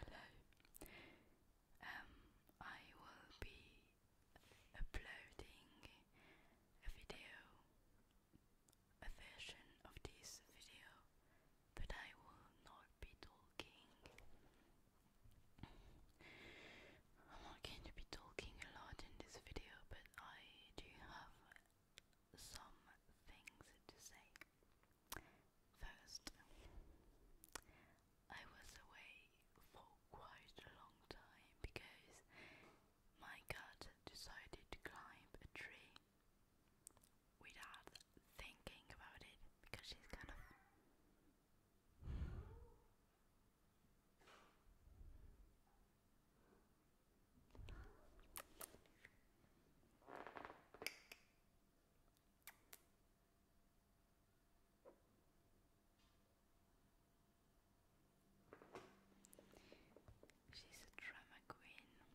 Hello. Um, I will be uploading a video, a version of this video, but I will not I'm not going to be talking a lot in this video, but I do have some things to say. First, I was away for quite a long time because my cat decided to climb a tree without thinking about it because she's kind of She's a drama queen.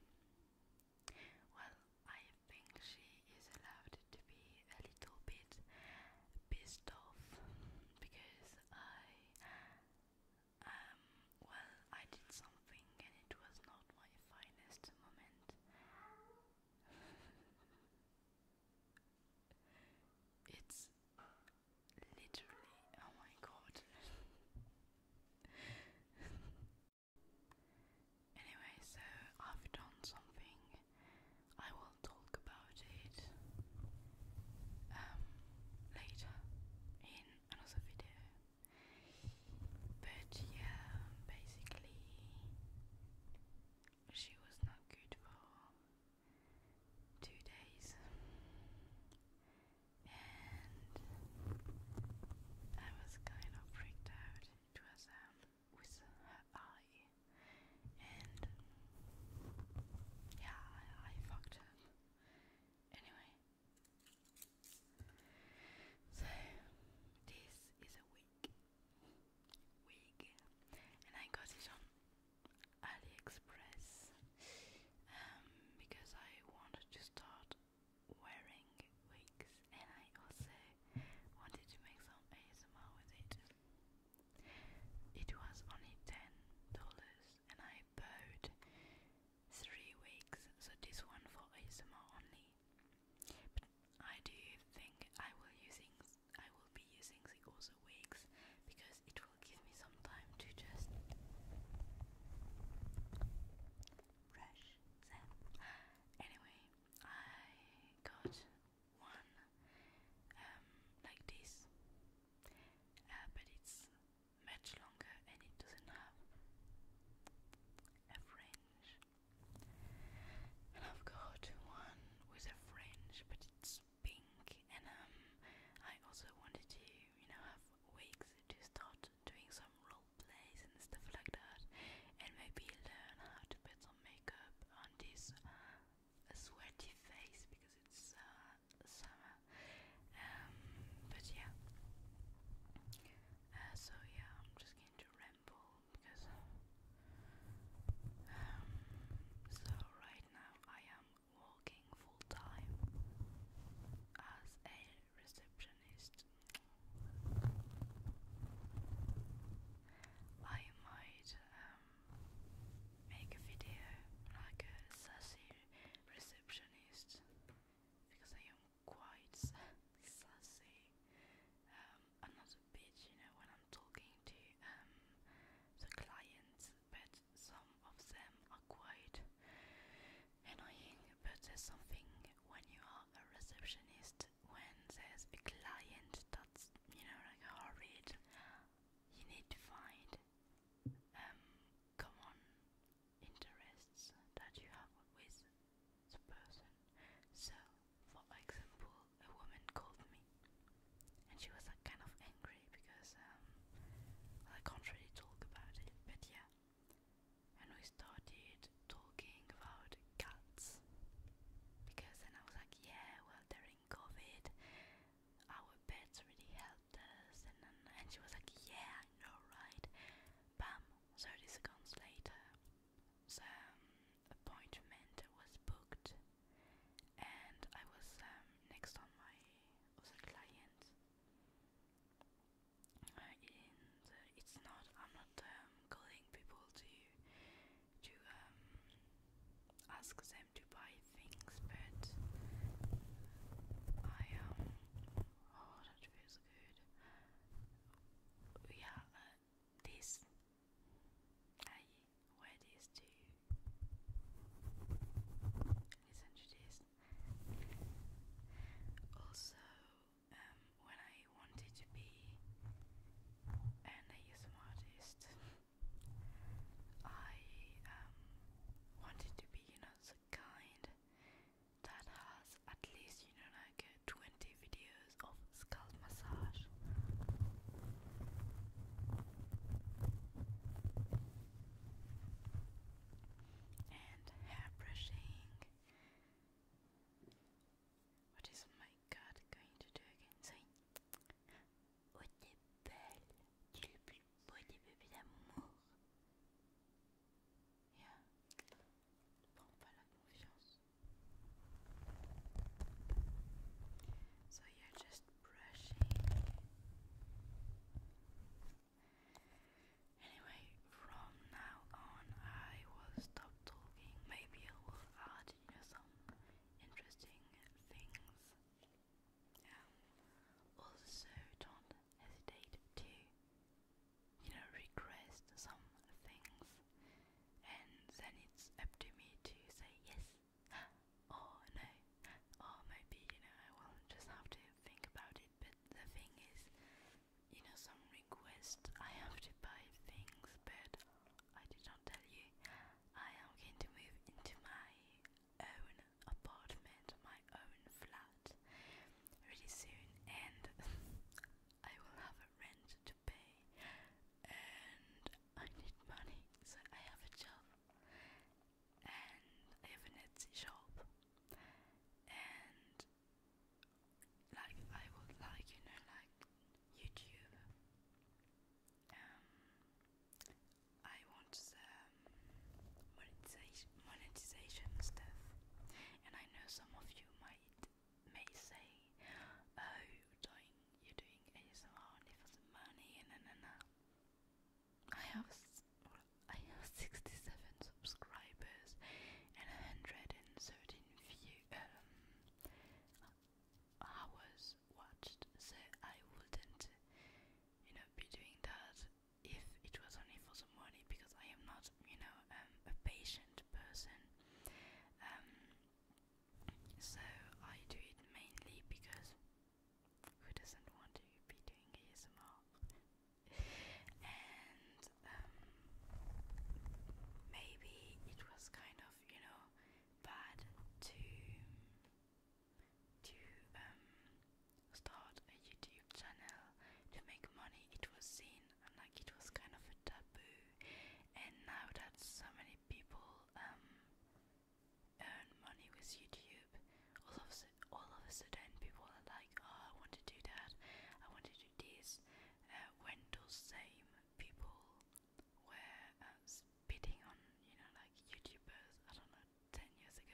Well, I think she is allowed to be a little bit pissed off because I um well I did something and it was not my finest moment. it's literally oh my god Anyway, so I've done something. I will talk about it um, later in another video. But yeah, basically, she was not good for two days, and I was kind of freaked out. It was um, with her eye, and yeah, I, fucked up. Anyway, so this is a wig, wig, and I got it on AliExpress um, because I wanted to start wearing wigs and I also wanted to make some ASMR with it. It was only ten dollars and I bought three wigs. so this one for ASMR only. But I do think I will using I will be using the other wigs because it will give me some time to just brush Anyway, I got one um, like this, uh, but it's much longer and it doesn't have a fringe. And I've got one with a fringe, but it's pink. And um, I also wanted to, you know, have wigs to start doing some role plays and stuff like that, and maybe learn how to put some makeup on this uh, sweaty face because it's uh, summer. Um, but yeah. Uh, so yeah, I'm just going to ramble because. Um, so right now I am working full time as a receptionist I might um, make a video like a sassy receptionist because I am quite sassy. Um, I'm not a bitch, you know, when I'm talking to um, the clients, but some of them are quite annoying. But there's something when you are a receptionist when there's a client that's you know like horrid, you need to find um common interests that you have with the person. So, for example, a woman called me, and she was like kind of angry because um well, I can't really talk about it, but yeah. And we started stopped talking about cats because then I was like, yeah, well, during COVID, our pets really helped us. And, then, and she was like, yeah, I know, right? Bam, 30 seconds later, some appointment was booked, and I was um, next on my other client. Uh, in the, it's not, I'm not not um, calling people to to um, ask them to buy things, but I um oh that feels good. Yeah, uh, this I this to listen to Also, um, when I wanted to be an ASM artist, I um, wanted to be, you know, the kind that has at least, you know, like uh, 20 videos of scalp massage. And hair brushing what is my god going to do again? Sorry. Oh, t'es belle. Tu es le plus beau des bébés d'amour. Yeah. Prends So you're just brushing. Anyway, from now on, I will stop stop talking, maybe I will add you know, some interesting things. Um, also, don't hesitate to you know request some things, and then it's up to me to say yes or no, or maybe you know I will just have to think about it. But the thing is, you know, some requests. I have to buy things, but I did not tell you. I am going to move into my own apartment, my own flat, really soon, and I will have a rent to pay, and I need money, so I have a job, and I have an Etsy shop, and like I would like you know like YouTube. Um, I want the um, monetization monetization stuff, and I know some of you might may say, "Oh, you're doing you're doing ASMR only for the money," and na na. I have I have sixty seven subscribers and hundred and thirteen view um, I was watched, so I wouldn't, you know, be doing that if it was only for some money because I am not, you know, um, a patient person. Um, so I do it mainly because who doesn't want to be doing ASMR? and um, maybe it was kind of you know bad to to um, start a YouTube channel to make money. It was seen and like it was kind of a taboo, and now that so many people um, earn money with YouTube, all of a, all of a sudden people are like, "Oh, I want to do that. I want to do this." Uh, when those same people were uh, on, you know, like YouTubers, I don't know, 10 years ago.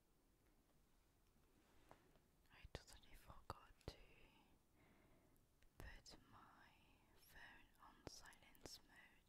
I totally forgot to put my phone on silence mode.